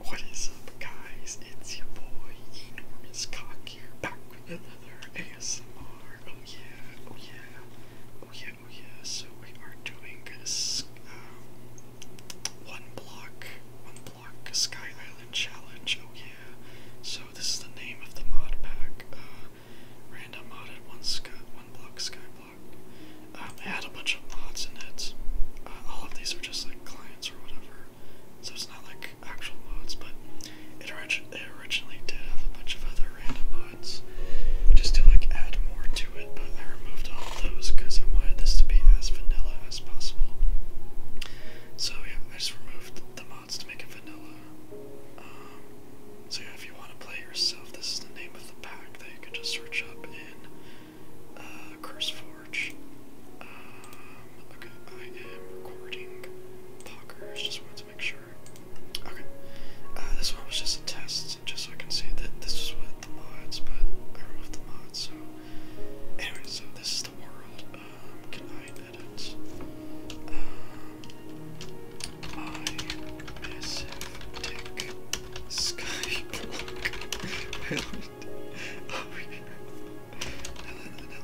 What is up, guys? It's your boy, Enormous Cock here, back with another ASMR. Oh yeah, oh yeah, oh yeah, oh yeah. So we are doing this um, one block, one block Sky Island challenge. Oh yeah. So this is the name of the mod pack. Uh, random modded one block sky block. Um, I had a bunch of mods in it. Uh, all of these are just like clients or whatever, so it's not like actual mods, but it, orig originally did have a bunch of other random mods just to like add more to it, but I removed all those because I wanted this to be as vanilla as possible. So yeah, I just removed the mods to make it vanilla. Um, so yeah, if you want to play yourself, this is the name of the pack that you can just search up in uh, Chris Forge. Um, okay, I am recording Pockers, just wanted to make sure. Okay, uh, this one was just a just so I can see that this was with the mods, but I removed the mods, so. Anyway, so this is the world. Um, can I edit? Um, my massive dick over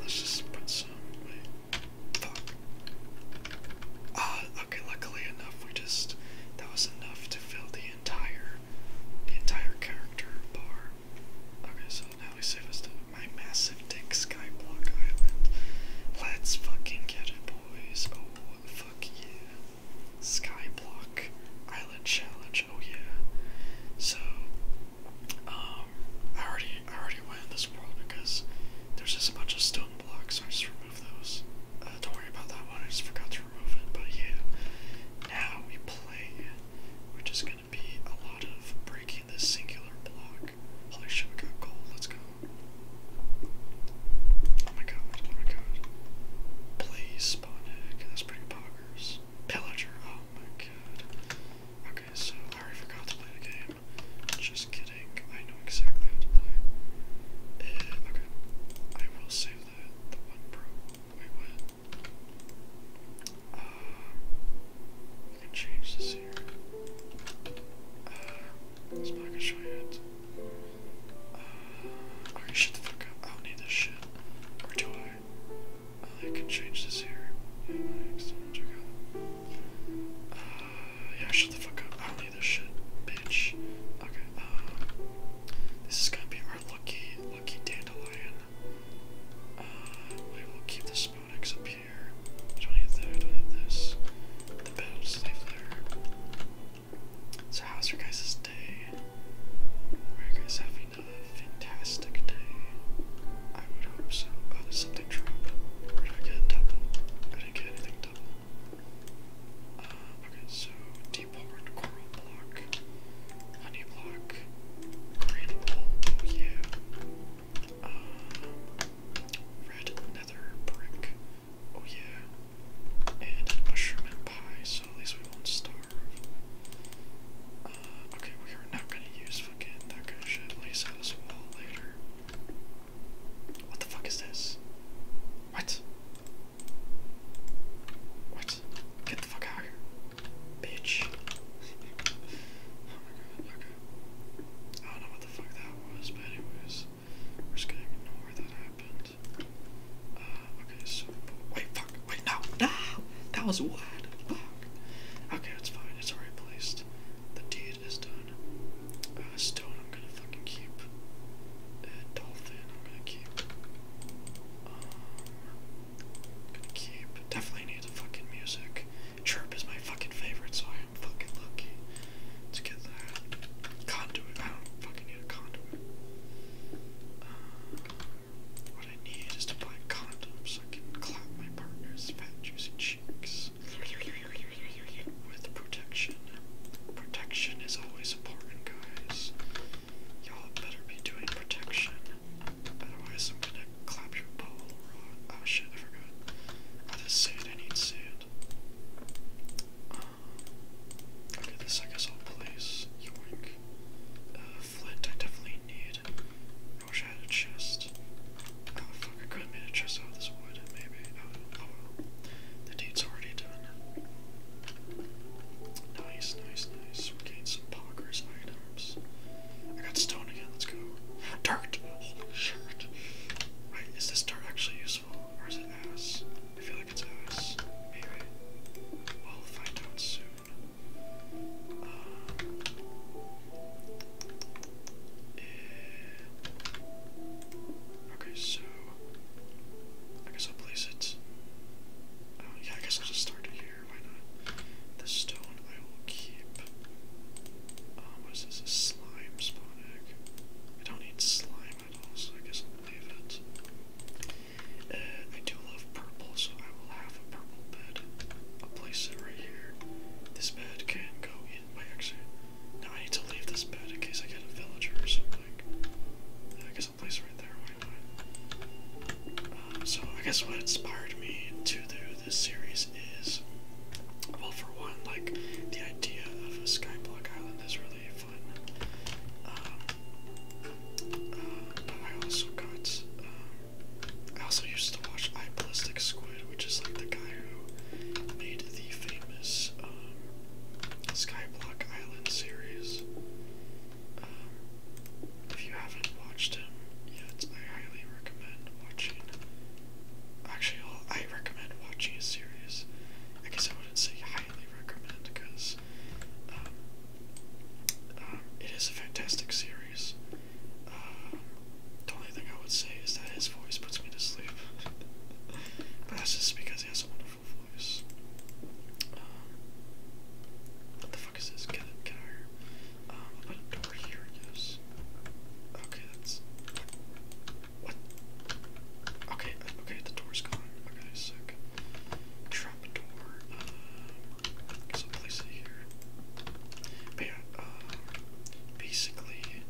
let's just put some. Fuck. Ah, okay. Luckily enough, we just that was enough to fill the entire, the entire character bar. Okay, so now we save us to my massive dick skyblock island. Let's fucking get it, boys. Oh, fuck yeah. Skyblock Island Challenge. Oh yeah. So um I already I already went this world because there's just a bunch of stone blocks, I just removed those. Uh, don't worry about that one, I just forgot to remove it, but yeah. Now we play We're just gonna be a lot of breaking this singular block. Holy shit, we got gold, let's go. Oh my god, oh my god. Please spawn that's pretty popular. Pillager, oh my god. Okay, so I forgot to play the game. Just kidding, I know exactly how to play. Uh, okay, I will save the, the one pro. Wait, what? Uh, we can change this here. Uh, it's not show you it. I do or do I? I can change this here. Yeah, shut the fuck up. I need this shit, bitch. Okay, um, this is gonna be our lucky, lucky dandelion. Uh, will keep the Sponex up here. I don't need this. The bed will stay there. So, how's your guys' day. guys having a fantastic day? I would hope so. Oh, there's something dropped. Or did get double? I did get anything double. Uh, okay, so deep horn, coral block, honey block, green bowl, oh yeah. Uh, red nether brick, oh yeah. And mushroom and at least we won't starve. Uh, okay, we are not gonna use fucking that kind of shit. Lace out this wall later. What the fuck is this? What? What? Get the fuck out here. Bitch. oh my god, okay. I don't know what the fuck that was, but anyways, we're just gonna ignore that happened. Uh, okay, so wait, fuck, wait, no, no, that was what? Fuck. Okay, it's fine. It's already placed. The deed is done. Uh, stone, I'm gonna fucking keep. dolphin, I'm gonna keep. Um, gonna keep. Definitely need the fucking music. Chirp is my fucking favorite, so I am fucking lucky to get that. Conduit, I don't fucking need a conduit. Uh, what I need is to buy condoms so I can clap my partner's fat juicy cheeks with protection. Protection is always important, guys. Y'all better be doing protection. Otherwise, I'm gonna clap your ball raw. Oh shit, I forgot. I just sand, I need sand. Um, okay, this I place. Yoink. Uh, flint I definitely need. I wish I had a chest. Oh, I could have a chest out of this wood, maybe. Oh, oh, the deed's already done. Nice, nice, nice. We're getting some poggers items. I got stone again, let's go. Dirt! Holy shirt. Wait, is this dirt actually useful? Or is it ass? Arkansas. Maybe uh, Okay, so I guess I'll place it. Oh, yeah, I guess I'll just start it here. Why not? The stone I will keep. Um, what is A slime spawn egg? don't need slime at all, so I guess I'll leave it. Uh, I do love purple, so I will have a purple bed. I'll place it right here. This bed can go in my exit. Now I need to leave this bed in case I get a villager or something. Uh, I guess I'll place it right there. Why not? Um, so I guess what inspired me to do this series is, well, for one, like the idea of a skyblock island is really um, uh, but I also got. Uh, I also used to watch I Ballistic Squid, which is like the guy who made the famous um, Skyblock Island series. Um, if you haven't watched him yet, I highly recommend watching. Actually, I recommend watching a series. I guess I wouldn't say highly recommend because um, uh, it is a fantastic series. Um, the only thing I would say is that his voice puts me to sleep, but that's just because he has a wonderful voice. Um, what the fuck is this? Can I, can I, um, a door here, yes. Okay, that's, what? Okay, uh, okay, the door's gone. Okay, sick. Trapdoor. Um, place here. But yeah, uh, basically,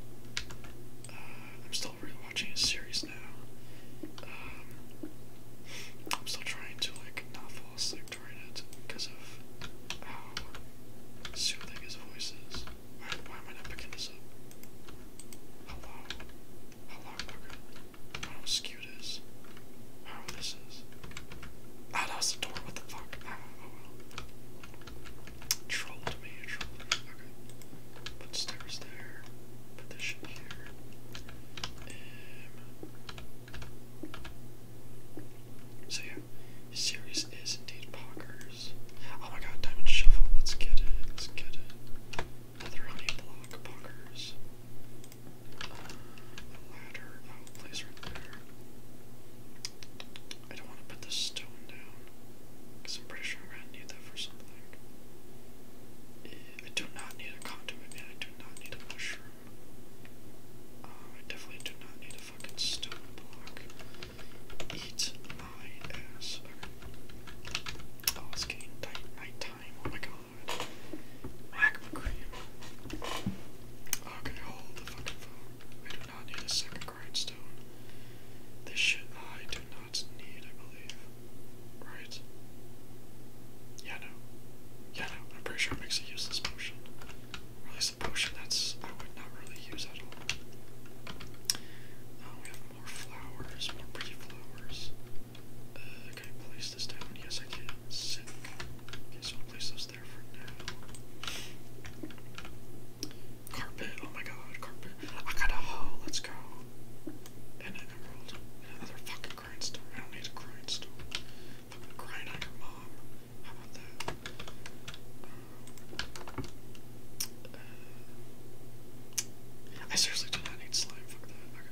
uh, I'm still rewatching a series now. Um, I'm still trying to like not fall asleep during it because of how soothing his voice is. Why, am I not picking this up? Hello how long ago, how askew it is, how this is. that was the door, what the fuck? Oh, trolled me, trolled me. Okay. Put stairs there, put here. Um, so yeah, series is indeed Pockers. Oh my god, Diamond Shuffle, let's get it, let's get it. Another honey block, Pockers. Oh, i don't want to put this stone down, because I'm pretty sure i need that for something. I do not need a conduit, I do not need a mushroom. Um, I definitely do not need a fucking stone block. Eat my ass. Oh, it's getting night night time. Oh my god. Mac McCream. Okay, hold the fucking phone. I do not need a second grindstone. This shit I do not need, I believe. Right? Yeah, no. Yeah, no. I'm pretty sure it makes a useless potion. Or at a potion that's I would not really use at all. Uh, we have more flowers, more pretty flowers. Uh, can I place this down? Yes, I can. Sick. Okay, so I'll place those there for now. Carpet. Oh my god, carpet. I got a haul. Let's go. And an another fucking grindstone. I don't need a grindstone. Fucking grind on your mom. How about that? Uh, uh, I seriously do not need slime. Fuck that. Okay.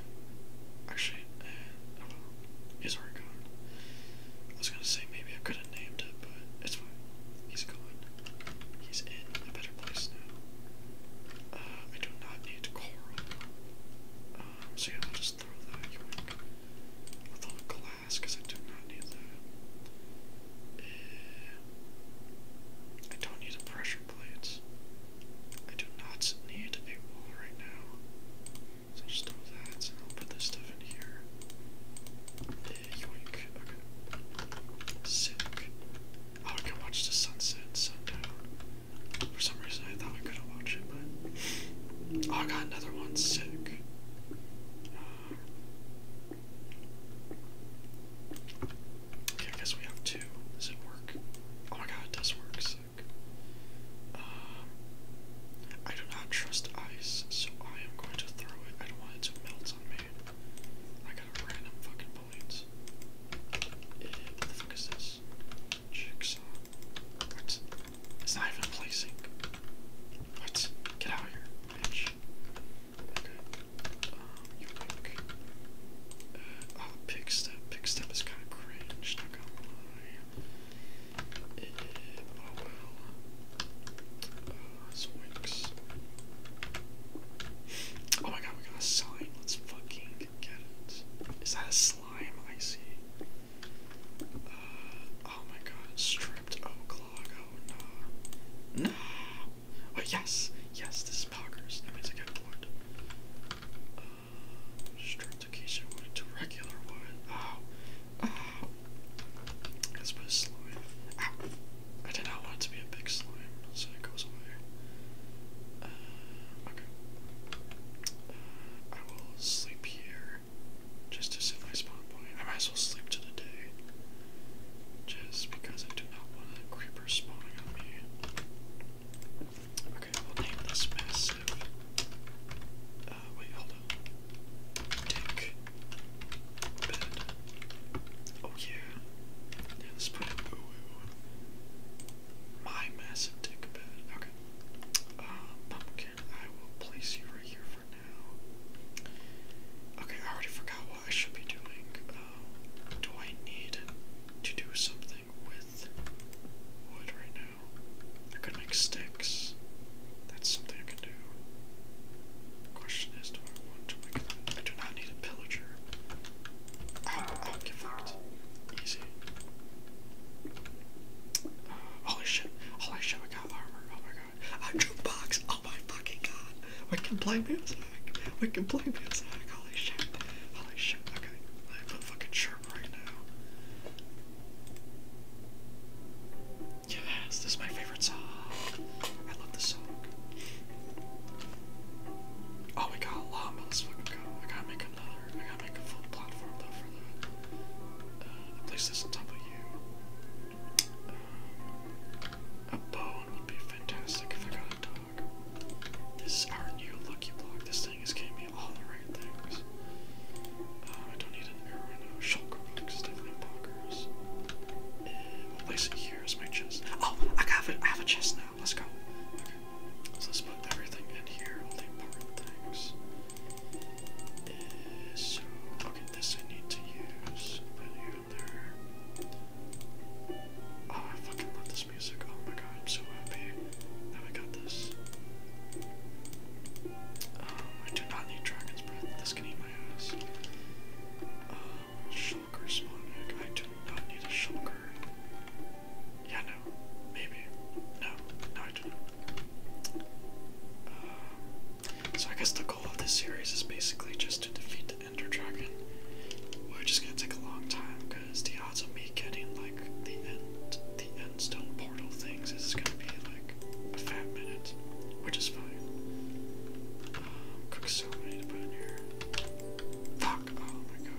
Actually, eh, uh, gone. I was gonna say maybe I could have named it, but it's fine. He's gone. He's in a better place now. Uh, I do not need coral. Um, so yeah, I'll just throw that yoink. With all glass, because I do not need that. I don't need a pressure pressure I do not need a wall right now. So I'll just do that and I'll put this stuff in here. Yeah, Okay. Sick. Oh, I can watch the sunset sundown. For some reason I thought I couldn't watch it, but oh, I got another one sick. Uh... I guess we have two. Does it work? Oh my god, it does um, I do not trust ice, so I am going to throw it. I don't want it to melt on me. I got random fucking bullet. It, what the fuck is this? Jigsaw. What? It's not even placing. What? Get out of here, bitch. Okay. Um, oh, Pick Step. Pick Step is kind of cringe, not gonna lie. It, eh, oh well. Uh, Oh my god, we got a sign. Let's fucking get it. Is that a slime? I see. Uh, oh my god, stripped oak log. Oh no. No! Oh yes! Yes, this is poggers. That means I get wood. Uh, Stratification wood to regular wood. Oh. Oh. Let's put slime. I did not want to be a big slime, so it goes away. Uh, okay. Uh, I will sleep here just to set my spawn point. I might as well sleep to the day. Just because I do not want a creeper spawning on me. Okay, we'll name this massive. Uh, wait, hold on. Dick. Bed. Oh, yeah. let's put it. Ooh, My massive dick bed. Okay. Uh, pumpkin, I will place you right here for now. Okay, I already forgot what I should be doing. Uh, do I need to do something? with wood right now. I could make sticks. That's something I can do. The question is, do I want to make them? I do not need a pillager. Ow, ow, get fucked. Easy. Uh, holy shit. Holy shit, I got armor. Oh my god. A jukebox! Oh my fucking god. We can play music. We can play music. Holy shit. Holy shit. Okay fucking sharp right now. Yes, this is my favorite song. I love this song. Oh my god, llama, let's fucking go. I gotta make another, I gotta make a full platform though for that. Uh, place this on bone uh, would be fantastic if I got it done. This is our new lucky block. This thing is giving me all the right things. Uh, I don't need an arrow now. Shulker box is definitely bonkers. And we place it here my chest. Oh, I have I have a chest now. Let's go. let's put everything in here. All the important things. Uh, this I need to use. Put you there. Oh, I fucking love this music. Oh my god, I'm so happy that we got this. Um, I do not need Dragon's Breath. This um, a Shulker. Um, so I guess the goal of this series is basically just to defeat the Ender Dragon. We're gonna take a long time because the odds of me getting like the end the end stone portal things is gonna be like a fat minute, which is fine. Um, cook soup I to put in here. Fuck! Oh my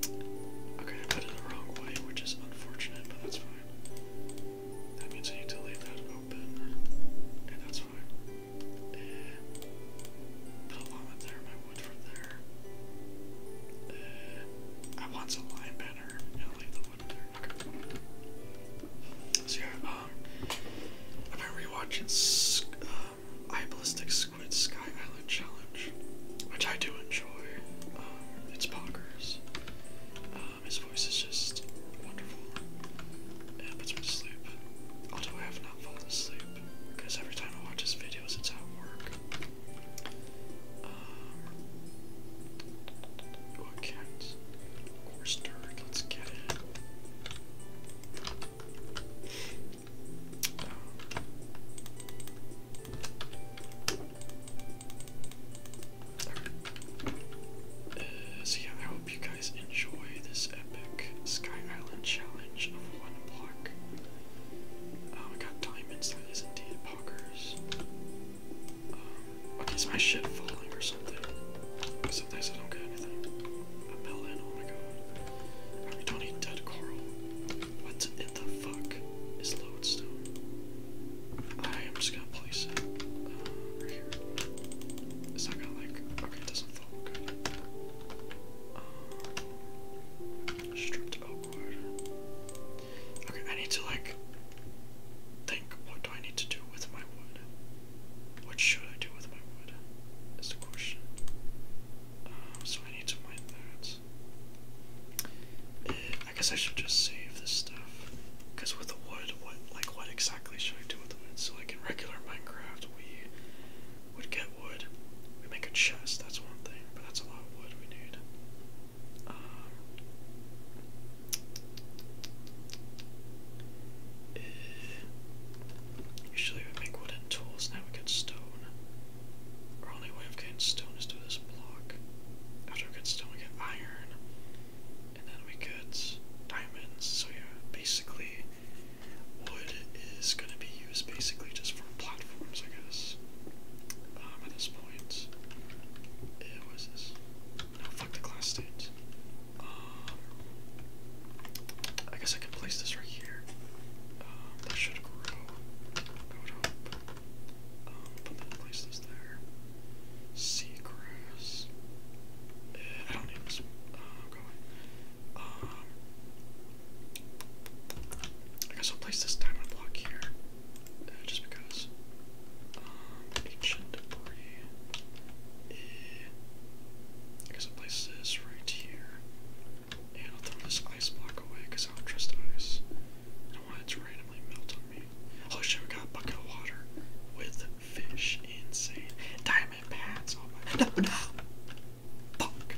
god. Okay, I put it the wrong way, which is unfortunate, but that's fine. That means I need to leave that open, and that's fine. put a llama there, my uh, I want some lime banner and I'll leave the wood there. So yeah, I've been rewatching um, um Squid Sky Island Challenge, which I do enjoy. Um, it's bonkers. Um, his voice is just wonderful. And puts me to sleep. Although I have not fallen asleep because every time I watch his videos, it's at work. Um, oh, a cat. Of course, dirt. Let's get it. Um, I hope you guys enjoy this epic Sky Island challenge of one block. Oh I got diamonds. That is indeed poggers. Um, okay, is my shit falling or something? Sometimes I don't get anything. A melon. Oh my god. I don't need dead coral. What in the fuck is lodestone? I am just gonna place it uh, right here. It's not gonna like. Okay, it doesn't fall. Okay. Stripped oakwood. Okay, I need to like think what do I need to do with my wood? What should I do with my wood? Is the question. Um, so I need to mine that. Eh, I guess I should just save this stuff. Cause with the wood, what like what exactly should I do with the wood? So like in regular Minecraft, we would get wood. We make a chest, that's one thing, but that's a lot of wood we need. Um, usually we make wooden tools, now we get stone. Our only way of getting stone is through this block. After we get stone, we get iron, and then we get diamonds. So, yeah, basically, Wood is going to be used basically just for platforms, I guess. Um, at this point, it was No, fuck the glass stains. Um, I guess I can place this right here. Um, that should grow. I would place this there. Seagrass. I don't need this. Uh, go away. I guess I'll place this diamond block here, uh, just because. Um, ancient debris. Eh, I guess I'll place this right here, and I'll throw this ice block away because I don't trust ice. I don't want it to randomly melt on me. Oh shit, we got a bucket of water with fish. Insane. Diamond pants. Oh my. No, no. Fuck.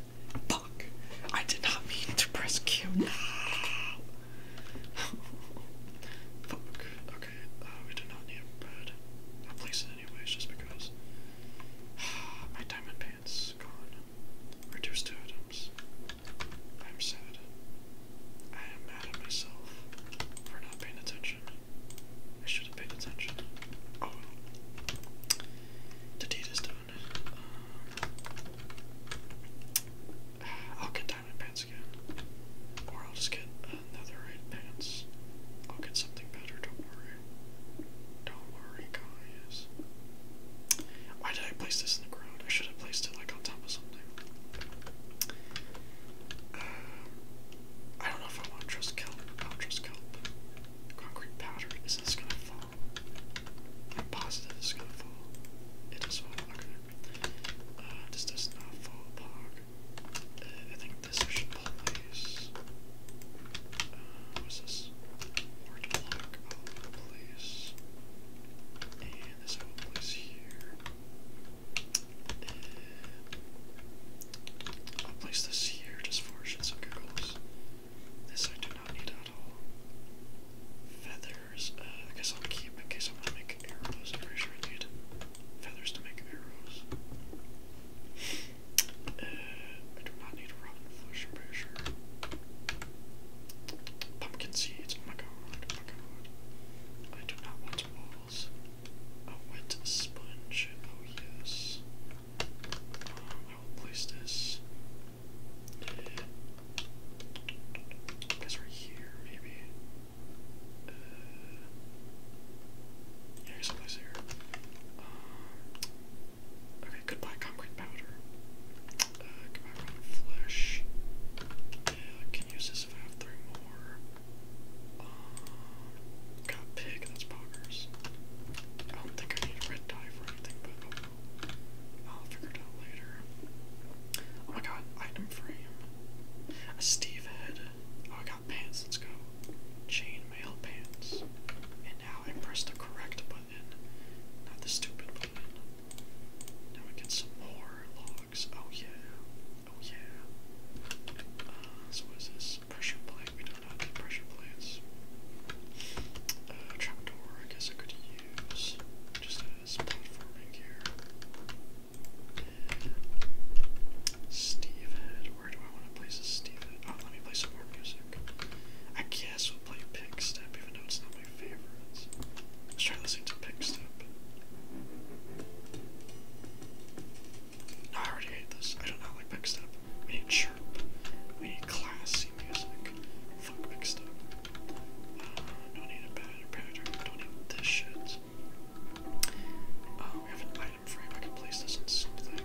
Fuck. I did not mean to press Q. No. Fuck. Okay. Uh, we do not need a bed. I'll place it anyways just because. My diamond pants gone. Reduced to items. I'm sad. I am mad at myself for not paying attention. I should have paid attention. Oh The deed is done. I'll get diamond pants again. Or I'll just get another red pants. I'll get something better, don't worry. Don't worry, guys. Why did I place this in the ground? I should have placed it like on top of something. Um, I don't know if I want to I'll trust oh, Concrete powder. Is this gonna fall? I'm positive is gonna fall. It does fall, okay. Uh, this does not fall, Pog. Uh, I think this should place. Uh, what's this? Ward block place. And this will place here. Uh, place this here just for shits and giggles. This I do not need at all. Feathers, uh, I guess I'll keep in case I want to make arrows. I'm pretty need feathers to make arrows. Uh, I do not need robin flesh, i Pumpkin seeds, oh, oh my god, oh my god. I do not want walls. A wet sponge, oh yes. I will place this. guess right here, maybe. Uh, yeah, I guess here. Um, okay, goodbye concrete powder. Uh, goodbye rotten flesh. Yeah, I can use this if I have three more. Um, got pig, that's poggers. I don't think I need red dye for Oh my god, item frame. A Steve head. Oh, I got pants, let's go. Chainmail pants. And now I press the correct button, not the stupid button. Now we get some more logs. Oh yeah. Oh yeah. Uh, so what is this? pressure plate. We don't have pressure plates. Uh, trapdoor, I guess I could use just as platforming here. Steve where do I want to place a Steve oh, let me play some more music. I guess we'll play Pick Step, even though it's not my favorites. Let's try listening to Pick I already hate this. I do not like Pick We need Chirp. We need Class music. Fuck mixed up. Uh, need a pattern, pattern. Don't need this shit. Oh, uh, have an item frame. I can place this on something.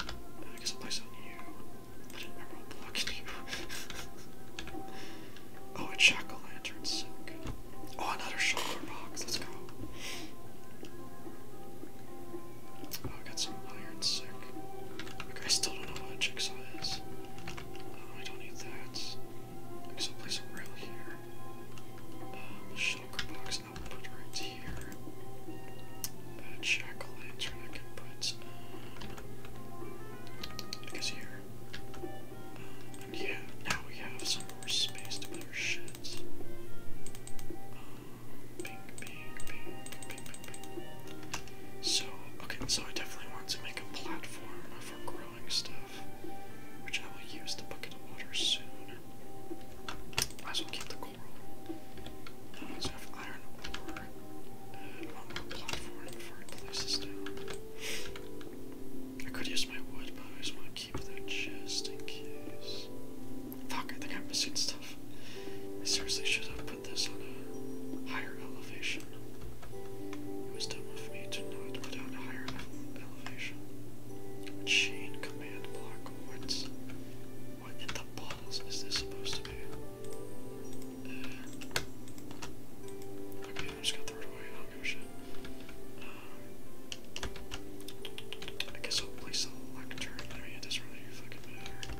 Uh, I guess I'll place it on you. I didn't remember block you. oh, a jack o' lantern silk. Oh, another shoulder box. Let's go. Oh, I got some iron sick. I still don't know what a jigsaw is. Oh, I don't need that. Okay, so I'll rail here. Um, box I'll put right here. A jack o' I can put, um, here. Um, yeah, now we have some more space to put our shit. Um, so, okay, so I definitely want to make a platform for growing stuff, which I will use the bucket of water soon. Might as well keep the coral. Uh, so have iron ore. Uh, one more platform before I down. I could use my wood, but I just want to keep that chest in case. Fuck, I think I'm missing stuff. I seriously should have put this on a higher elevation. It was dumb of me to not put on a higher elevation. Chain command block. What's. What in the balls is this supposed to be? Uh, okay, I just got thrown away. I don't give shit. Um, I guess I'll place a lectern. I it doesn't really fucking matter.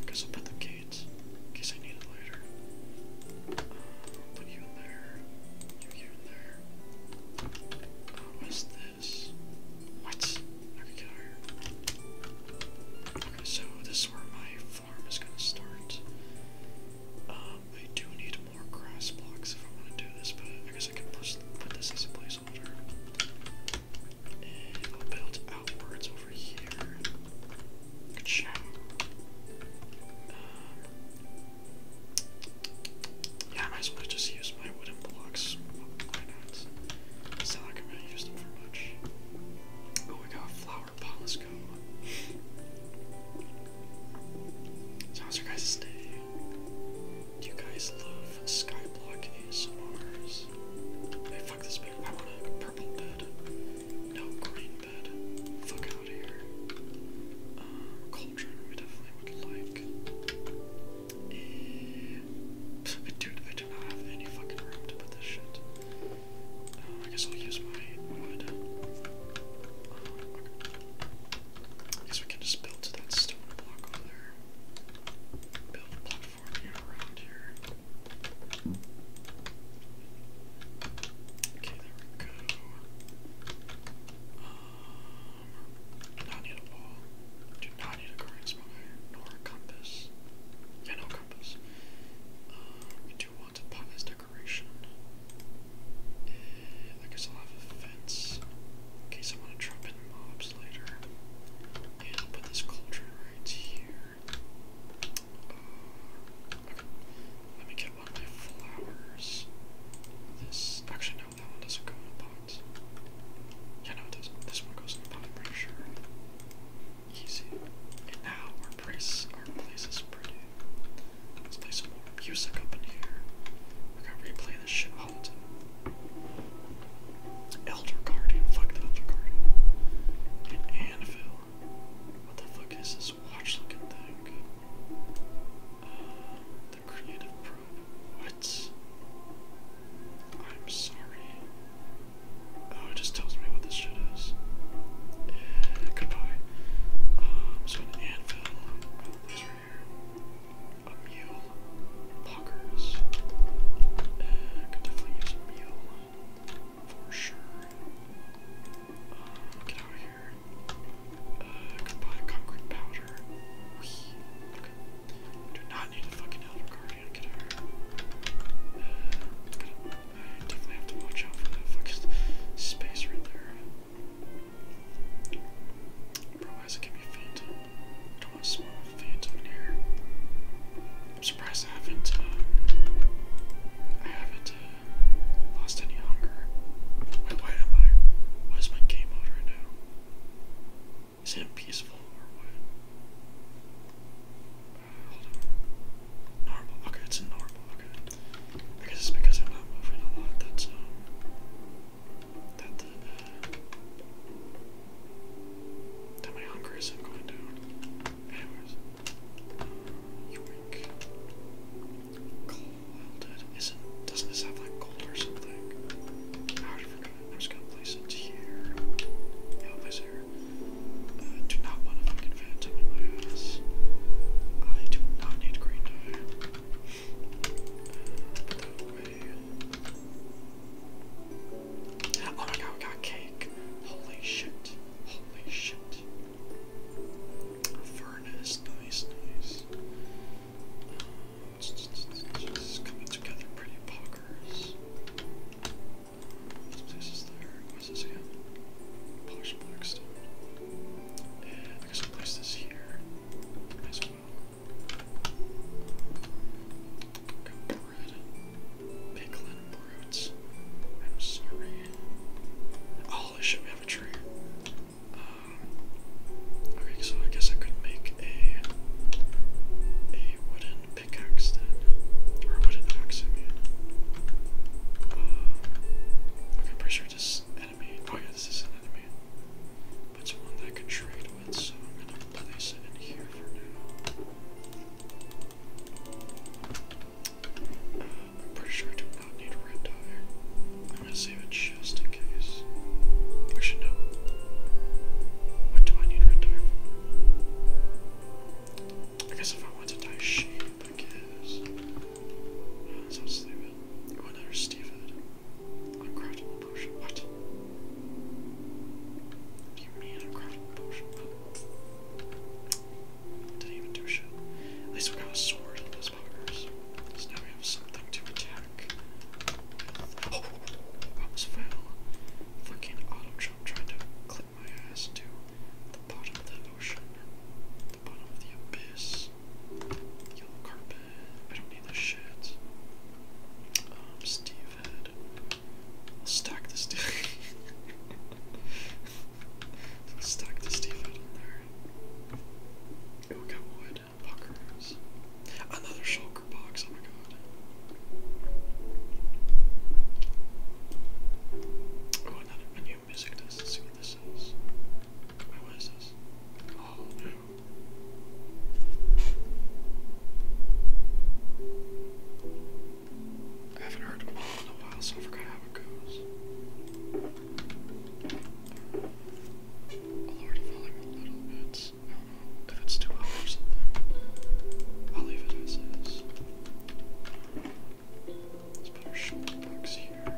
Because um, I put the gates in I need it later. put you in there. You in there. Oh, what's this? What? I can get higher. Okay, so this is where my farm is gonna start. Um, I do need i guess I can push, put this as a placeholder. Um, yeah, might as well just use my wooden blocks. Why like I'm gonna use them for much. Oh, I got a flower pot. Let's your guys' day? Do you guys love Skyblock ASMRs? Hey, fuck this bed. I want a purple bed. No, green bed. Fuck out of here. Um, we definitely would like. Eh, dude, I do not have any fucking room to put this shit. Uh, I guess I'll use my wood. Uh, I guess we can just build to that stone block over there. Build a platform here around here. Okay, there we go. Um, not need a wall. do not need a guardian nor a compass. no compass. Uh, we do want a pot as decoration. I guess I'll have a fence in case I want to trap in mobs later. And I'll put this cauldron right here. Uh, let me get one of my flowers. This actually no, that one doesn't go in a pot. Yeah, no, it This one goes in I'm pretty sure. Easy. And now our place, our place is pretty. Let's play some more music up in here. We're to replay this shit Elder Guardian, fuck the Elder Guardian. Anvil. What the fuck is this watch looking thing? Uh, the Creative Probe. What? I'm sorry. Oh, it just tells me what this shit is. goodbye. Um, so an anvil. Oh, Illustrator, a mule, lockers. I could definitely use a mule for sure. get out of here. Uh, buy concrete powder. Whee. Do not need a fucking elder guardian. Get out I definitely have to watch out for that fucking space right there. Bro, why does it give phantom? I don't want to smell a phantom in here. I'm surprised I haven't, uh, I haven't, uh, lost any hunger. why am I, why my game mode right now? Is it peaceful or what? Uh, normal, okay, it's a normal, okay because it's because I'm not moving a lot. That's um, that uh, that my hunger isn't going down. Anyways, uh, you wink. Cold isn't. Doesn't this have like gold or something? I already forgot. I'm gonna place it here. place here. Uh, do not want a fucking phantom in my I do not need green dye. Oh my god, we got cake. Holy shit. Holy shit. Furnace, nice, nice. It's coming together pretty poggers. This this again? Polish blackstone. And this here pickling brutes. I'm sorry. Oh, I should have a tree. okay, so I guess I could make a a wooden pickaxe then, or a wooden axe. I am uh, pretty sure just Oh yeah, this is an enemy. But it's one I could trade with, so I'm gonna place it in here for now. Um, I'm pretty sure I do not need red dye. I'm gonna save it just in case. Actually, no. What do I need red dye for? I guess if I want to dye sheep, I uh, sounds stupid. You oh, went under Steven. Uncraftable potion. What? What do you mean uncraftable potion? Didn't even do shit. At least we got a sword in those buggers. So now we have something to attack. With. Oh! I almost fell. Fucking auto jump trying to clip my ass to the bottom of the ocean. The bottom of the abyss. Yellow carpet. I don't need this shit. Um, Steve head. stack the Steve. stack the Steve head on there. Ooh, we wood. Buckers. Another shulker box. Oh my god. Oh, another, a music. does Let's see what this is. what is this? Oh no. I haven't heard them in a while, so I forgot how it goes. I'll leave it as is. Let's put our shoulder box here.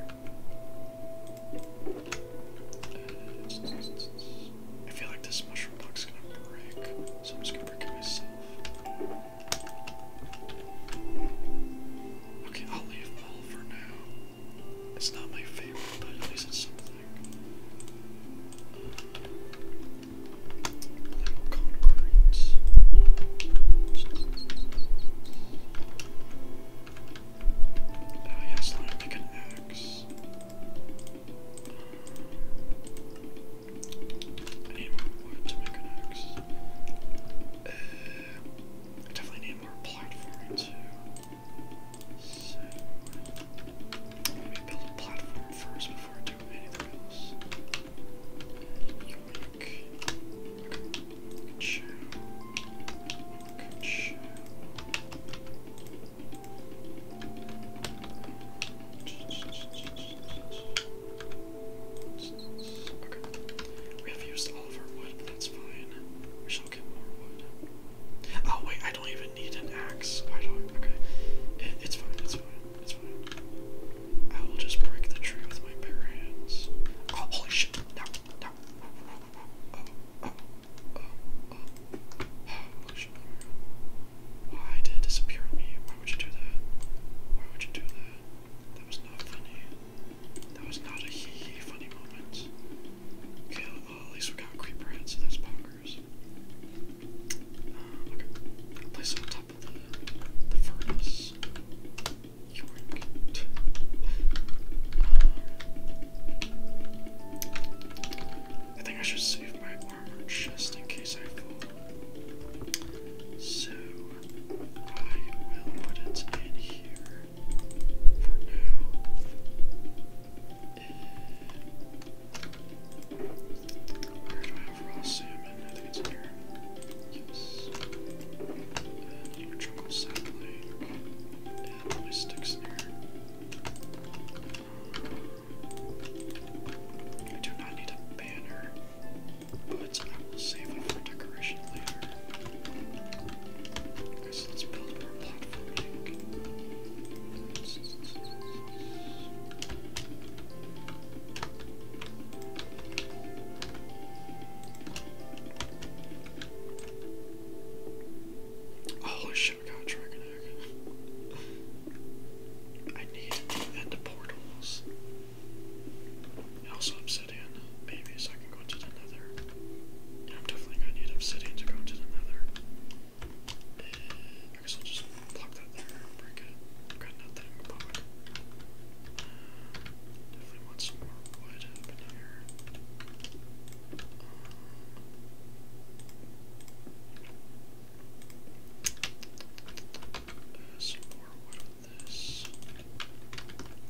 I feel like this mushroom box is gonna break, so I'm just gonna break it myself. Okay, I'll leave all for now. It's not my favorite, but at least it's something. concrete. Oh, I need more wood to make an axe. Uh, I definitely need more platforming too. So, let me build a platform first before I do anything else. Okay. We have used all of our wood, but that's fine. We shall get more wood. Oh wait, I don't even need an axe. Why do I? Okay, it's fine. It's fine. It's fine. I will just break the tree with my bare hands. Oh holy shit! Why did it disappear on me? Why would you do that? Why would you do that? That was not funny. That was not a hee hee funny moment. Okay, well, at least we got creeper bonkers. Uh, place it on top of the furnace. I think I should save my armor just in case I fall. So I will put it in here for now. Uh, do I have raw salmon? I think it's here. Yes. And jungle sapling. I do not need a banner, but I will save it for decoration later. let's build more platforming. Holy oh, shit, I got dragon egg. I need end the portals. also obsidian. Maybe so I can go into the nether. I'm definitely gonna need obsidian to go into the nether. Uh, I guess I'll just block that there and break it. I've got nothing, but. Um, Definitely want some more wood up in here. Um, uh, some more wood of this.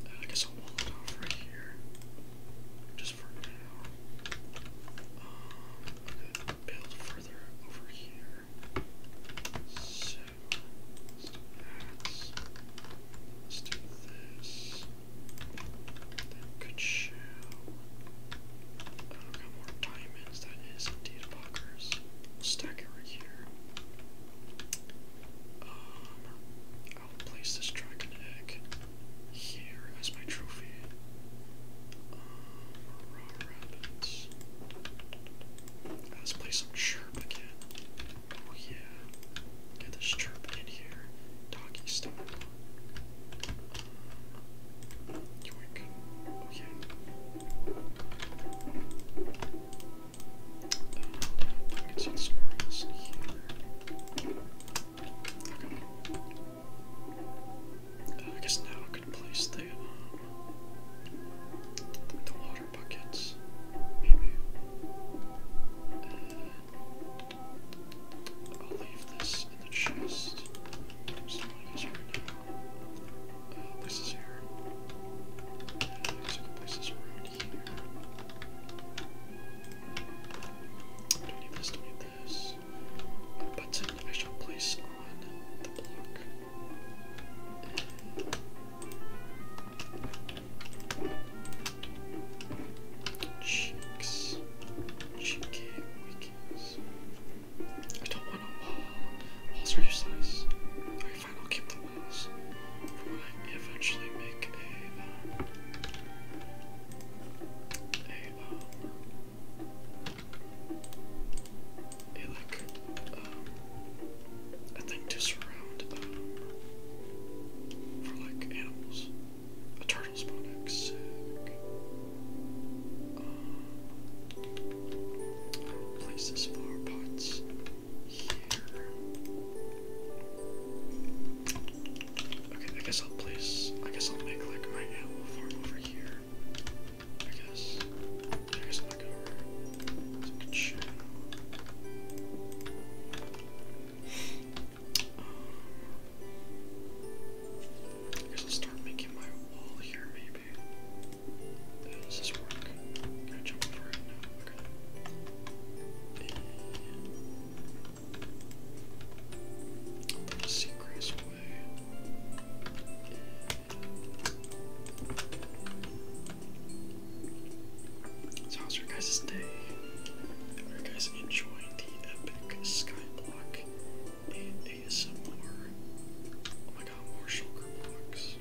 Uh, I guess I'll wall it off right here. Just for now. Um, build further over here. So, Let's do this. That show. Oh, got more diamonds. That is indeed buggers. stack it right here. Um, I'll place this dragon egg here as my trophy. Um, raw rabbits. Let's play some chirp again. Oh, yeah. Get this chirping in here. Doggy style. Yoink. Oh I can see squirrels in here. I guess now I'm gonna place um, the water buckets, maybe. Uh, I'll leave this in the chest. So uh, here places around here. do need this, do need this. button I shall place on the block. Cheeks. Cheeky weekends. I don't want a wall. Walls are useless. Alright, fine, I'll keep the walls. eventually make a uh, uh, um, think to surround uh, for like animals. A turtle spawn egg, uh, place this flower pots here. Okay, I guess I'll place. I guess I'll make like my animal farm over here. I guess. I guess I'll make over. So show. I guess I'll start making my wall here, maybe. does this work? Can I jump over it? No, okay. And... Sea so how's your guys' day? Hope guys enjoy the epic sky block and ASMR. Oh my god, more sugar blocks.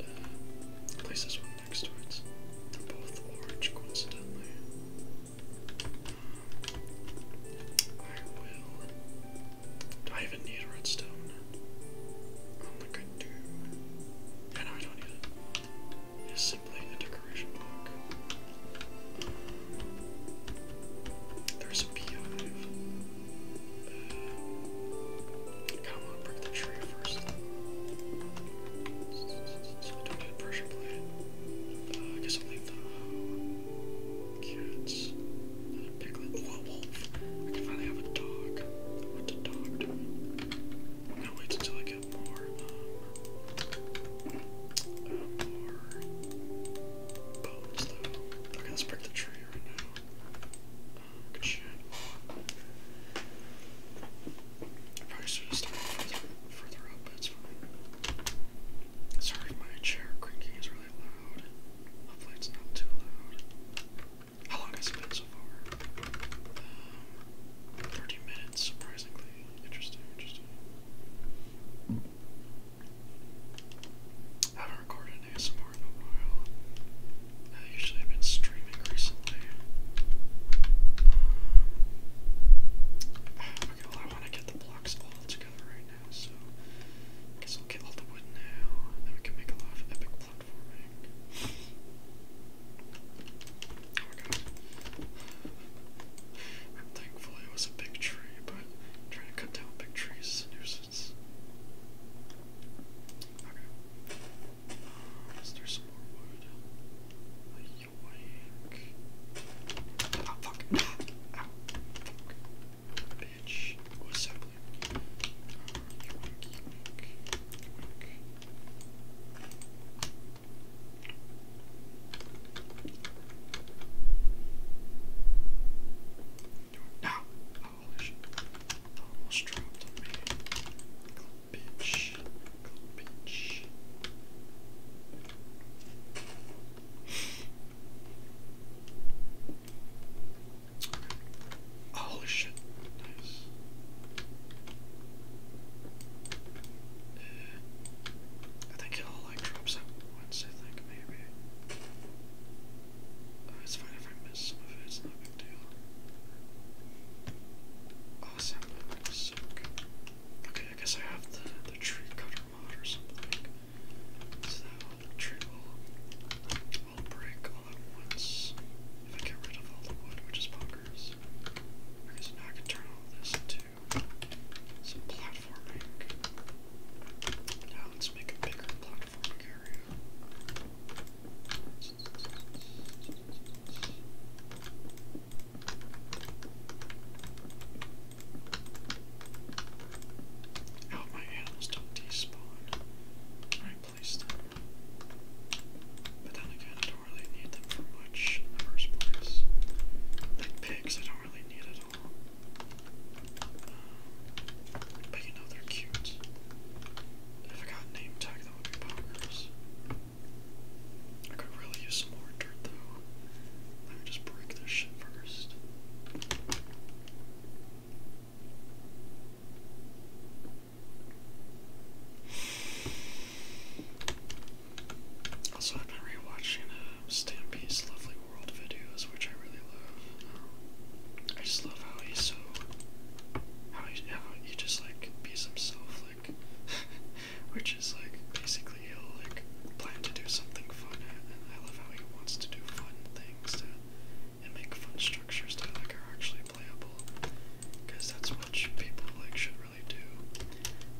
Uh, place this one next to it. They're both orange coincidentally. Uh, I will. Do I even need redstone? Oh I do I do. I don't need is simply a decoration block. There's a beehive. Uh, kind break the tree first. don't get pressure plate. Uh, guess I'll leave the cats. Another piglet. Oh, wolf. I can finally have a dog. What's a dog doing? I'm wait until I um, let's break the tree right now. Uh, good shit. probably should have started further up, but it's fine. Sorry, my chair creaking is really loud. Hopefully, it's not too loud. How long has it been so far? 30 minutes, surprisingly. Interesting, interesting. I haven't recorded an ASMR a while. I usually have been streaming recently. Um, okay, I want to get the blocks all together right now, so I guess I'll get all the wood now, and then we can make a lot of epic platforming. Okay. And thankfully it was a big tree, but trying to cut down big trees is a nuisance. Okay. is uh, there some more wood? Yoink. Oh, fuck. Ah, ow. Bitch. What was happening? Uh, yoink, Ow! Holy shit. Almost dropped me. Bitch. Holy shit. Nice. I think it all like drops out once, I think, maybe. Uh, it's fine if I miss some of it, it's not a big deal. Awesome, sick. Okay, I guess I have the, the tree cutter mod or something. So that all the tree will, will break all at once if I get rid of all the wood, which is I Because now I can turn all this into some platforming. Now let's make a bigger platforming area. Now my animals don't despawn. Can I place them? But then again, I don't really need them for much in the first place. Like pigs, I don't really need at all. Um, but you know, they're cute. If I got a name tag, that would be bonkers. I could really use some more dirt though. Let me just break this shit first. Also, I've been rewatching uh, Lovely World videos, which I really love. Um, I just love how he's so. How he, how he just like bees himself, like. which is like basically he'll like plan to do something fun, and I love how he wants to do fun things to, and make fun structures that like are actually playable, because that's what people like should do.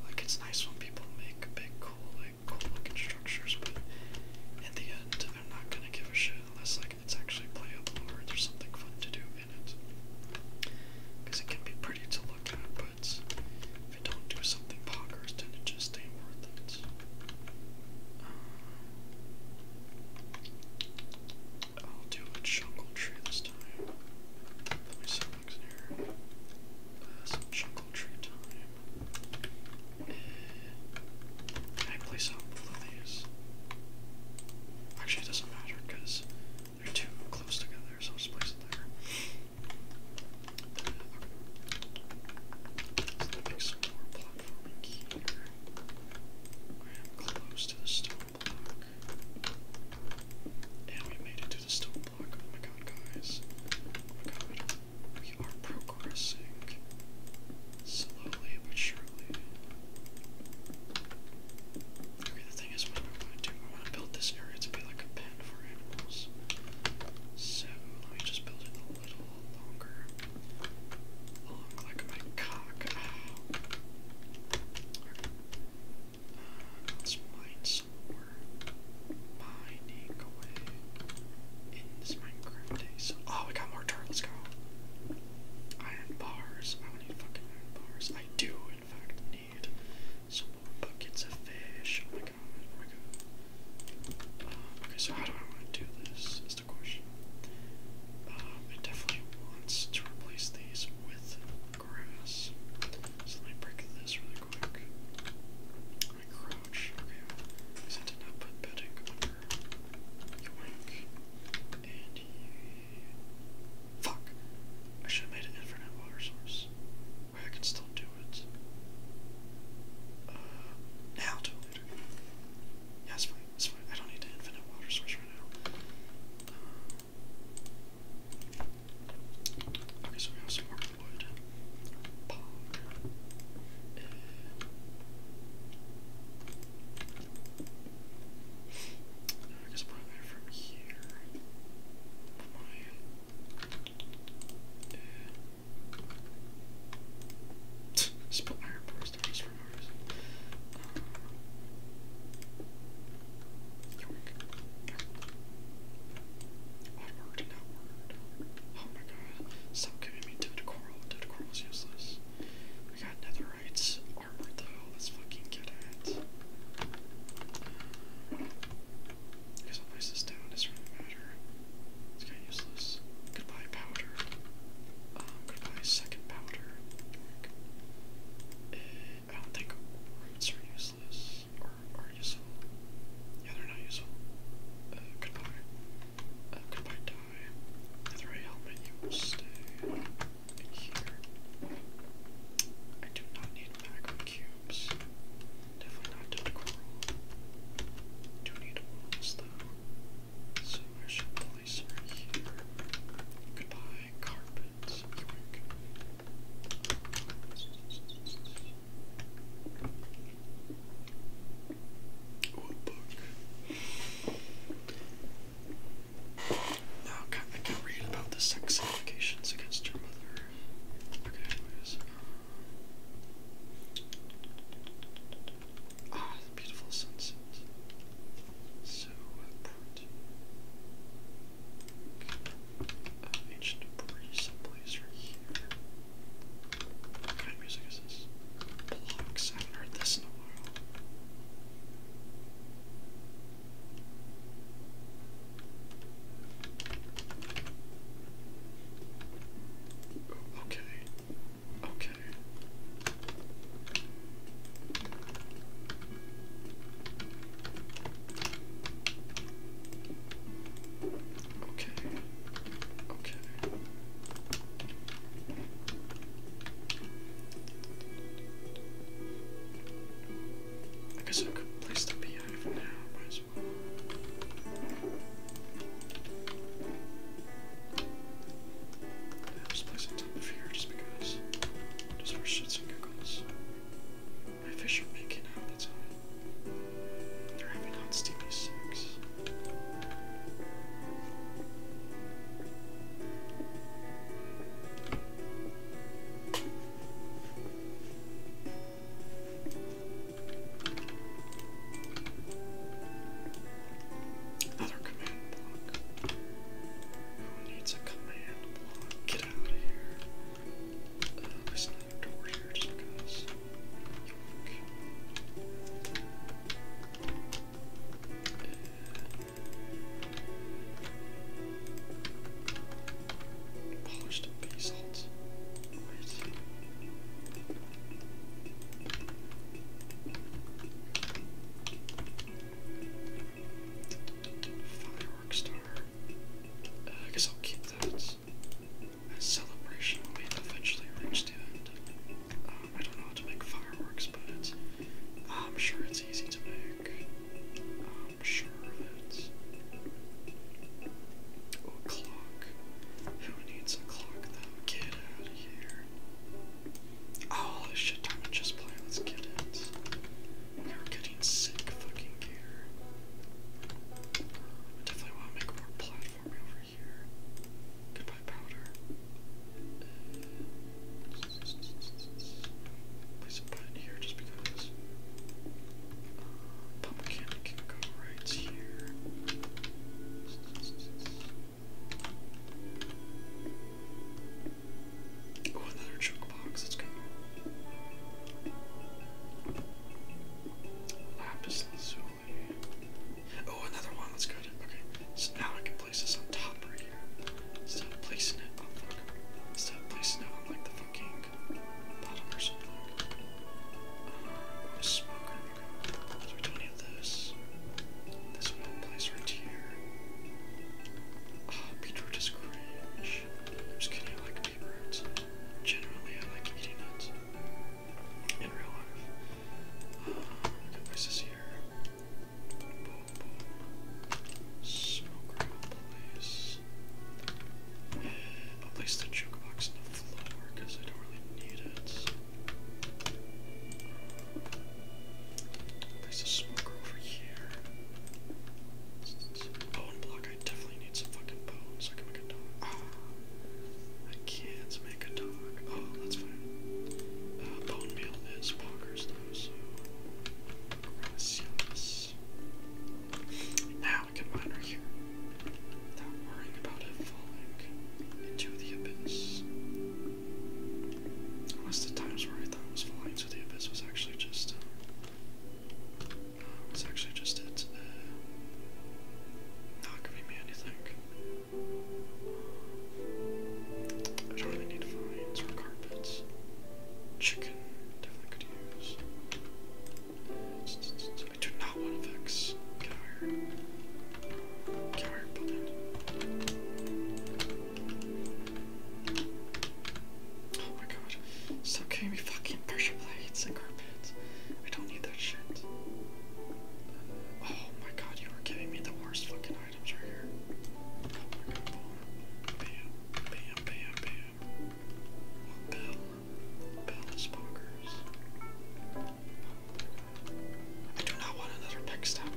Like it's nice when people make big, cool, like cool-looking structures, but in the end, they're not gonna give a shit unless like it's actually playable or there's something fun to do in it. Because it can be pretty to look at, but if you don't do something bonkers, tend to just stay worth it. Um, I'll do a jungle tree this time. Put my saplings in here. some jungle tree time. can I place out lilies? Actually, it doesn't matter because they're too close together, so I'll place it there. Uh, okay. So let me make some here. I am close to the stone. And we made it to the stone block. Oh my god, guys. Oh my god. We are progressing. Slowly but surely. the thing is, what do I want to do? I want to build this area to be like a pen for animals. So, let me just build it a little longer. Long like my cock some more oh, we got more dirt. Iron bars. I need fucking iron bars. I do, in fact, need some buckets of fish. Oh my god. Oh my god. Um, okay, so how do I want to do this? Is the question. Um, definitely wants to replace these with grass. let me break this really quick. I crouch. Okay, because I did bedding under Yoink. And Fuck! I should have made an infinite water source. Wait, I can still do it. Uh, now do it later. Yeah, fine, fine. I don't need an infinite water source right now. Um, Okay, so we have some more wood. Pog. Uh, I guess from here. My, uh, just put iron bars there just for Stop giving me dead coral. Dead coral's useless. I got netherite armor though. Let's fucking get it. I guess I'll place this down. doesn't really matter. It's kind useless. Goodbye powder. Um, goodbye second powder. I don't think roots are useless or are useful. Yeah, they're not useful. Uh, goodbye. Uh, goodbye, die. With the helmet, you stay here. I do not need macro cubes. Definitely not tentacle Do need walls though. So I shall place her here. Goodbye, carpet. What book? No, can I can read about the sex allegations against her mother. Okay, anyways. Ah, beautiful sunset. So important. Uh, uh, ancient debris someplace right here. What kind of music is this? Blocks. I haven't heard this in a while. Oh, okay. Okay. Okay. Okay. I guess I could place the beehive now, as well. Yeah, just place it top of here just because. Just for shits and giggles. My fish are making out, that's all. They're having hot steamy sex. Another command block. Who needs a command block? get out of here. Uh, there's door here just because. polished basalt. Uh, I guess I'll keep that. That celebration will eventually reach the end. Um, I don't know how to make fireworks, but I'm sure it's easy to make. I'm sure of it. a oh, clock. Who needs a clock though? Get out of here. Oh, this shit time and just play. Let's get it. We are getting freaking sick fucking gear. definitely want to make more platforming over here. Goodbye, powder. place a button here just because. Uh, pumpkin can go right here. Oh, another junk box. let Lapis lazuli. Oh, another one. That's good. Okay, so now I can place this on top right here. Instead placing it on placing it I'm like the fucking bottom or something. Um, smoker. Okay. we don't need this. This will place right here. Ah, oh, just I'm just kidding, I like paper Generally, I like eating nuts. In real life. Um, what is here? place. the jukebox on the floor because I don't really need it. Place the smoker over here. Bone block, I definitely need some fucking bones so I can make a dog. I can't make a dog. Oh, that's fine. Uh, bone meal is walkers though, so gracias. Now we can mine right here without worrying about it falling into the abyss. Unless the times where I thought it was flying to the abyss was actually just, was uh, actually just it, uh, not giving me anything. I don't really need vines or carpets. Chicken, definitely could use. I do not want to fix cow Oh my god. Stop giving me fucking pressure plates and carpets. I don't need that shit. oh my god, you are giving me the worst fucking items right here. Oh my god, boom. Bam, bam, bam, bam. Oh, Bell. Bell is bonkers. Oh I do not want another pick step,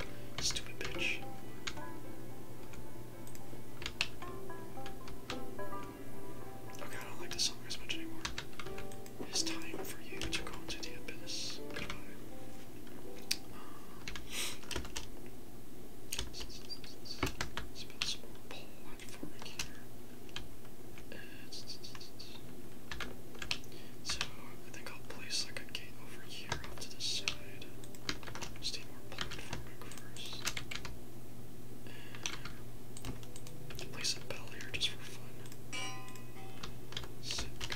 stupid bitch. I don't like this song as much anymore. It is time for you to go into the abyss. Goodbye. So I think I'll place like a gate over here to the more platforming first. place a bell here just for fun. Sick.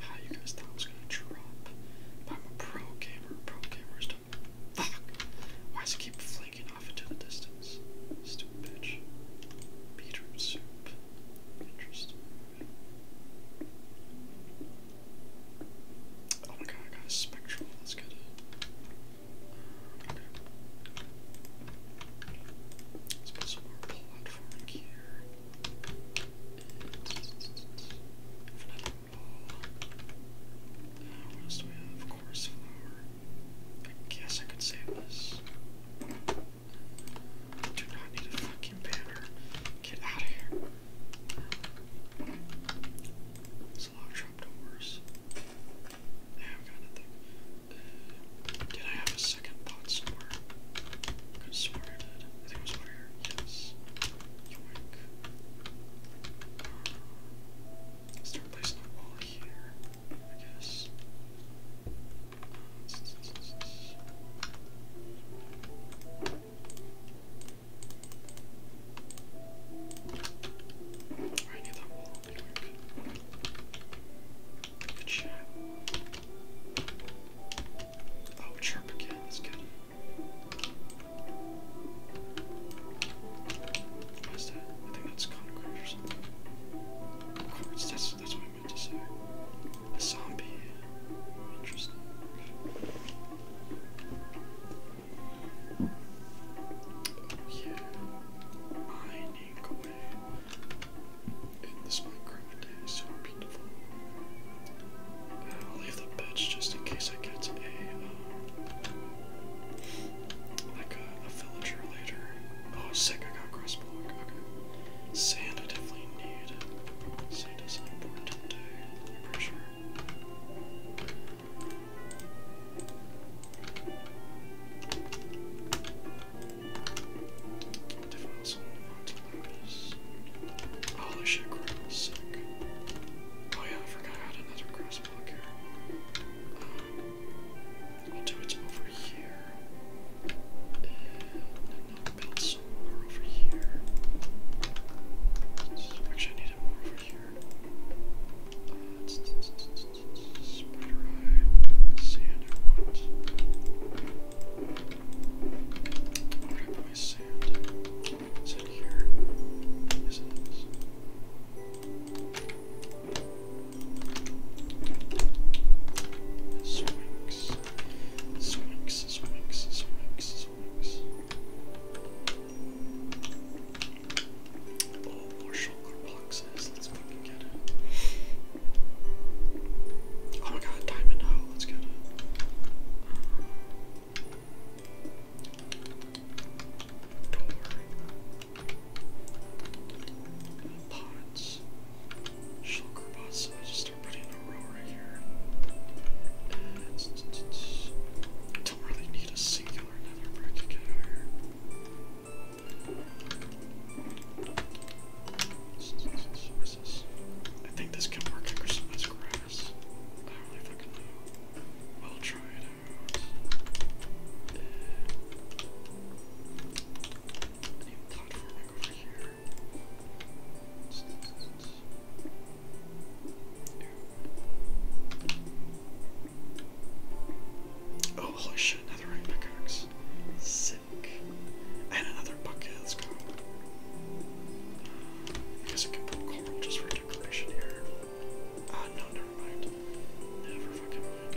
How you guys thought I was gonna drop? I'm a pro gamer. Pro gamers don't. Fuck! Why does it keep flaking off into the distance? Stupid bitch. Beetroot soup. Oh my god, I got a spectral. Let's get it. Okay. platforming here. what else do we have? Chorus flower. I guess I could save this do not need a fucking banner. Get out of here. It's a lot of I've got nothing. Uh, did I have a second pot somewhere? I could swear I did. it was over Yes. Start placing uh, a wall here, I guess. I need that wall Good Oh, chirp again, that's good. What is that? I think that's concrete or something. Quartz, that's, that's a zombie. Interesting. Oh, yeah. Mining away in this Minecraft is so beautiful. I'll leave the bench just in case I get a, uh, like a villager later. Oh, sick, I got cross block. Okay. Sand, I definitely need. Sand is an important today. pretty sure. Definitely want to Holy shit, sick. Oh yeah, I forgot I had another grass block here. Um, will do it over here need to more over here. Actually, I need it more over here. spider eye, sand, Where do my sand? Is it here? Is it this? Swings. Squinks. Squinks, squinks, squinks, Oh, more shulker boxes. Let's fucking get it. Oh my god, diamond hoe. let's get it cards. Shulker boss, so I just start putting in a row right here. And don't really need a singular nether brick to get out here. What is this? I think this can work to crystallize grass. I don't really fucking know. We'll try it out. Uh, I need platforming over here. Oh, holy shit, another ring pickaxe. Sick. And another bucket, let's go. just for decoration here. Ah, no, never mind. Never fucking mind.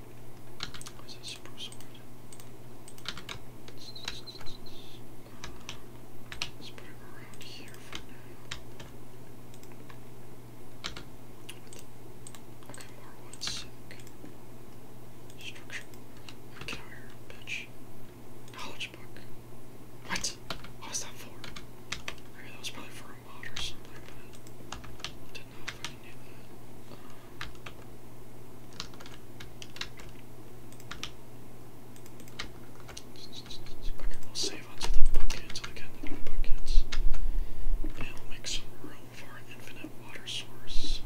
Let's, put it around here for now. Okay, more wood silk. Get out here, bitch. College book. What? What was that for? Okay, that was probably for a mod or something, I didn't know we'll save onto the buckets. I'll get the buckets. And will make some room for our infinite water source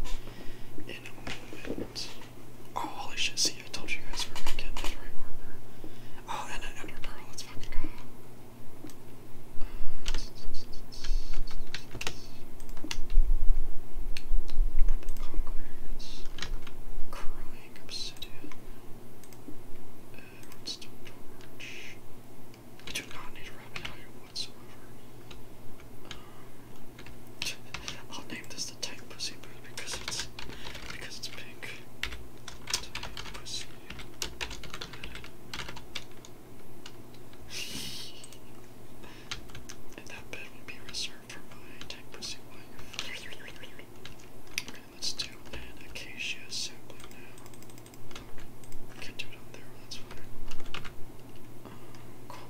in a moment. Oh, holy shit, see, I told you guys we are gonna get that right armor. Oh, and an ender pearl, let's fucking go. Purple Conquerors, Crying Obsidian, Redstone Torch. I do not need a rabbit out whatsoever. I'll name this the Tank Pussy Booth because it's because it's pink that bed will be reserved for my tech pussy wife. Okay, let's do an acacia sapling Can't do it on there, that's fine. Uh, cool.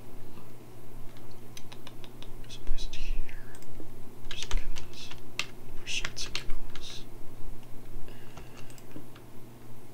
Just place here. Just because. For shirts and girls. And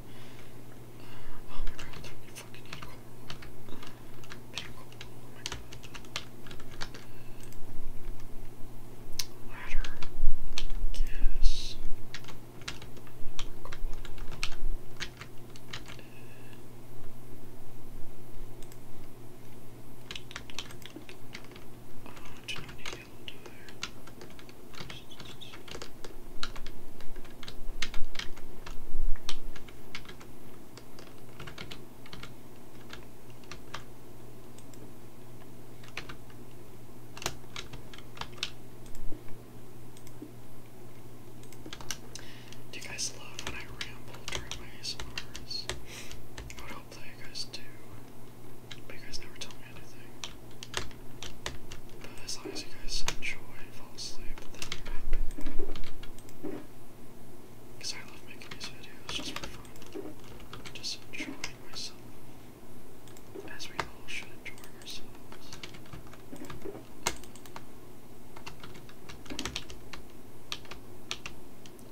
Uh, oh my god, I fucking need cold oh my god. Ladder. Yes. Cold do not need do you guys love when I ramble during my ASMRs? I would hope that you guys do, but you guys never tell me anything. Uh, as long as you guys enjoy fall asleep, then you're Because I love making these videos just for fun. Just enjoying myself. As we all should enjoy ourselves.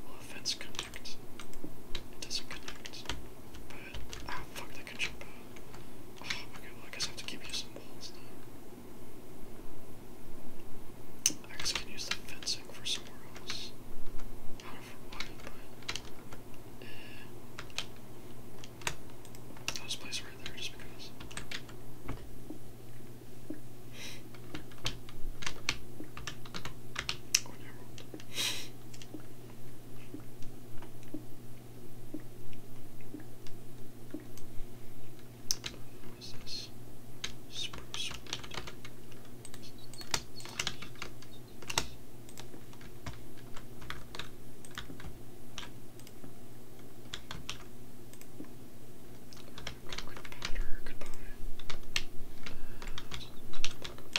Well, if it's connect, it connect. But, ah, fuck, I Oh, okay, well, I guess I have to keep using walls now. I guess I can use the fencing for somewhere else. I don't know for but. Eh. I'll right there just because. Oh, what is this? Spruce wood. Good, good powder, goodbye. Uh,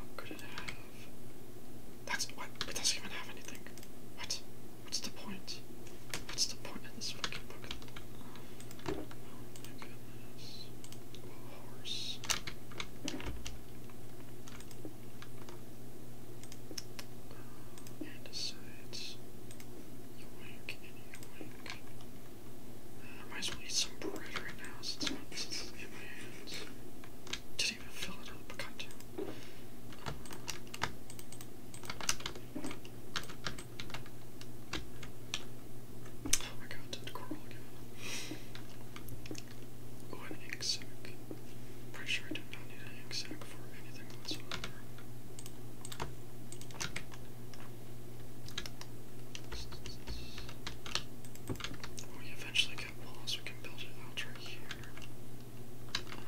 Um, could it have? That's what? It doesn't even have anything. What? What's the point? What's the point of this fucking book? Oh my goodness. Horse. Uh, and sides. Yoink and yoink. Uh, might as well eat some bread right now since, since in my hand questions. Didn't even fill it up, God Oh my god, that coral again. Oh, an ink Pretty sure I did not need an ink for anything whatsoever we eventually get walls, we can build it out right here. Um,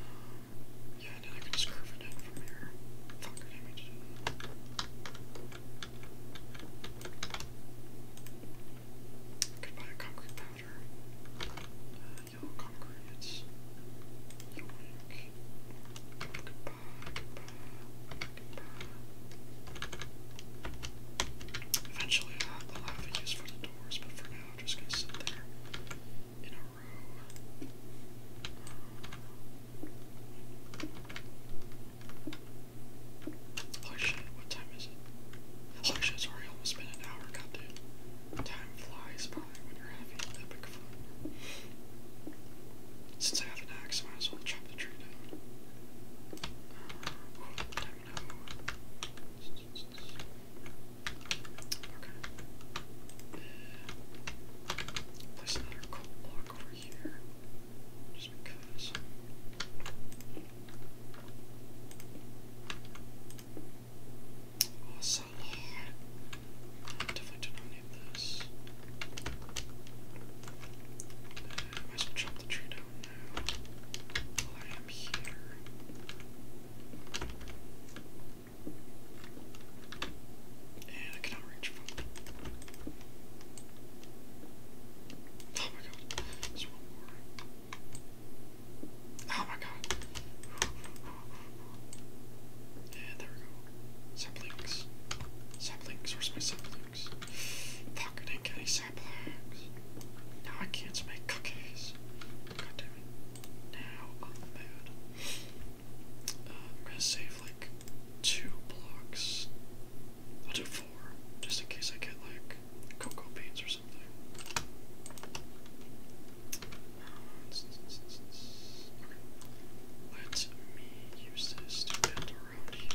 yeah, and then I can curve it in from here. Fuck, I I could buy concrete powder. Uh, yellow concrete, Eventually, I'll have a use for the doors, but for now, I'm just gonna sit there in a row. Holy shit, what time is it? Holy shit, it's already almost been an hour, god Time flies by when you're having epic fun. Since I have an axe, I might as well chop the tree down. Okay. Place another cold block over here. Just because. Oh, also, I do not need this. I might chop the tree down now while I am here. And I cannot reach Oh my god, one more. Oh my god. And there we go. Saplings. Saplings, where's my saplings? Fuck, I didn't get any now I can't make cookies. God damn it. Now I'm mad. Uh, I'm gonna save like two blocks. I'll do four, just in case I get like cocoa beans or something. Let me use this to build here.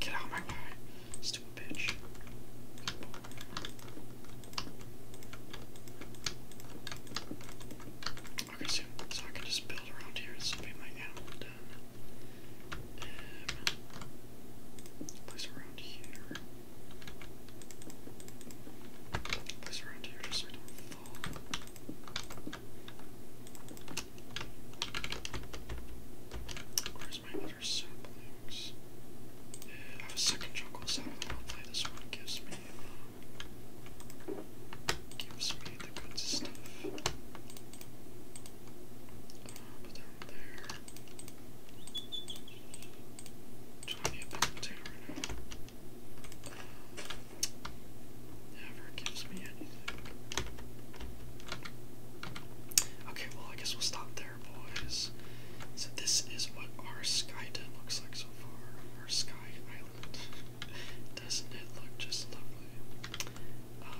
Get out my way, stupid bitch. Okay, so, I can just build around here. This will be my animal den. place around here. Place around here don't fall. Where's my other saplings? Yeah, I have a second jungle sapling. I'll play this one. Gives me, uh, gives me the good stuff. Uh, but down there. Do I need a building right now? Never gives me anything. Okay, well, I guess we'll stop there, boys. So, this is what our sky does looks like so far. Our Sky Island. Doesn't it look just lovely? Um,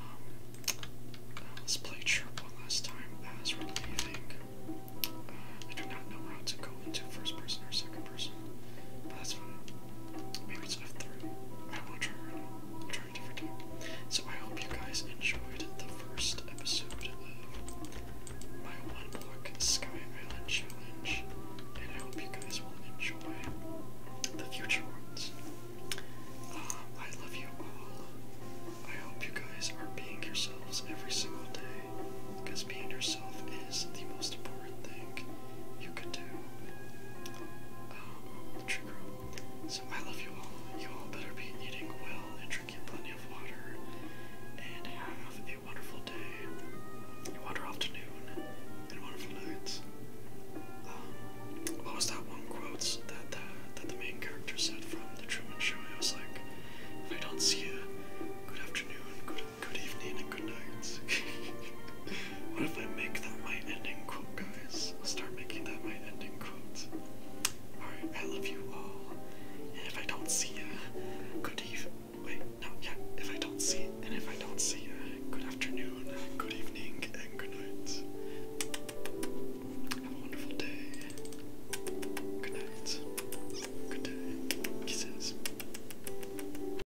uh, let's play trip one last time as we're leaving. Uh, I do not know how to go into first person or second person, but that's fine. I So I hope you guys enjoyed the first episode of my one block Sky Island challenge, and I hope you guys will enjoy the future ones. Uh, I love you all. I hope you guys are being yourselves every single day, because being yourself is the most important thing you could do. Um, so I love you all. You all better be eating well and drinking plenty of water. And have a wonderful day, a wonderful afternoon, and wonderful nights. Um, what was that one quote that the, that the main character said from The Truman Show? I was like, if I don't see you, good afternoon, good Good evening and good nights. what if I make that my ending quote, guys? start making that my ending quote. Alright, I love you all. And if I don't see ya, good eve. Wait, no, yeah. If I don't see, and if I don't see ya, good afternoon, good evening, and good night. Have a wonderful day. Good night. Good day. Kisses.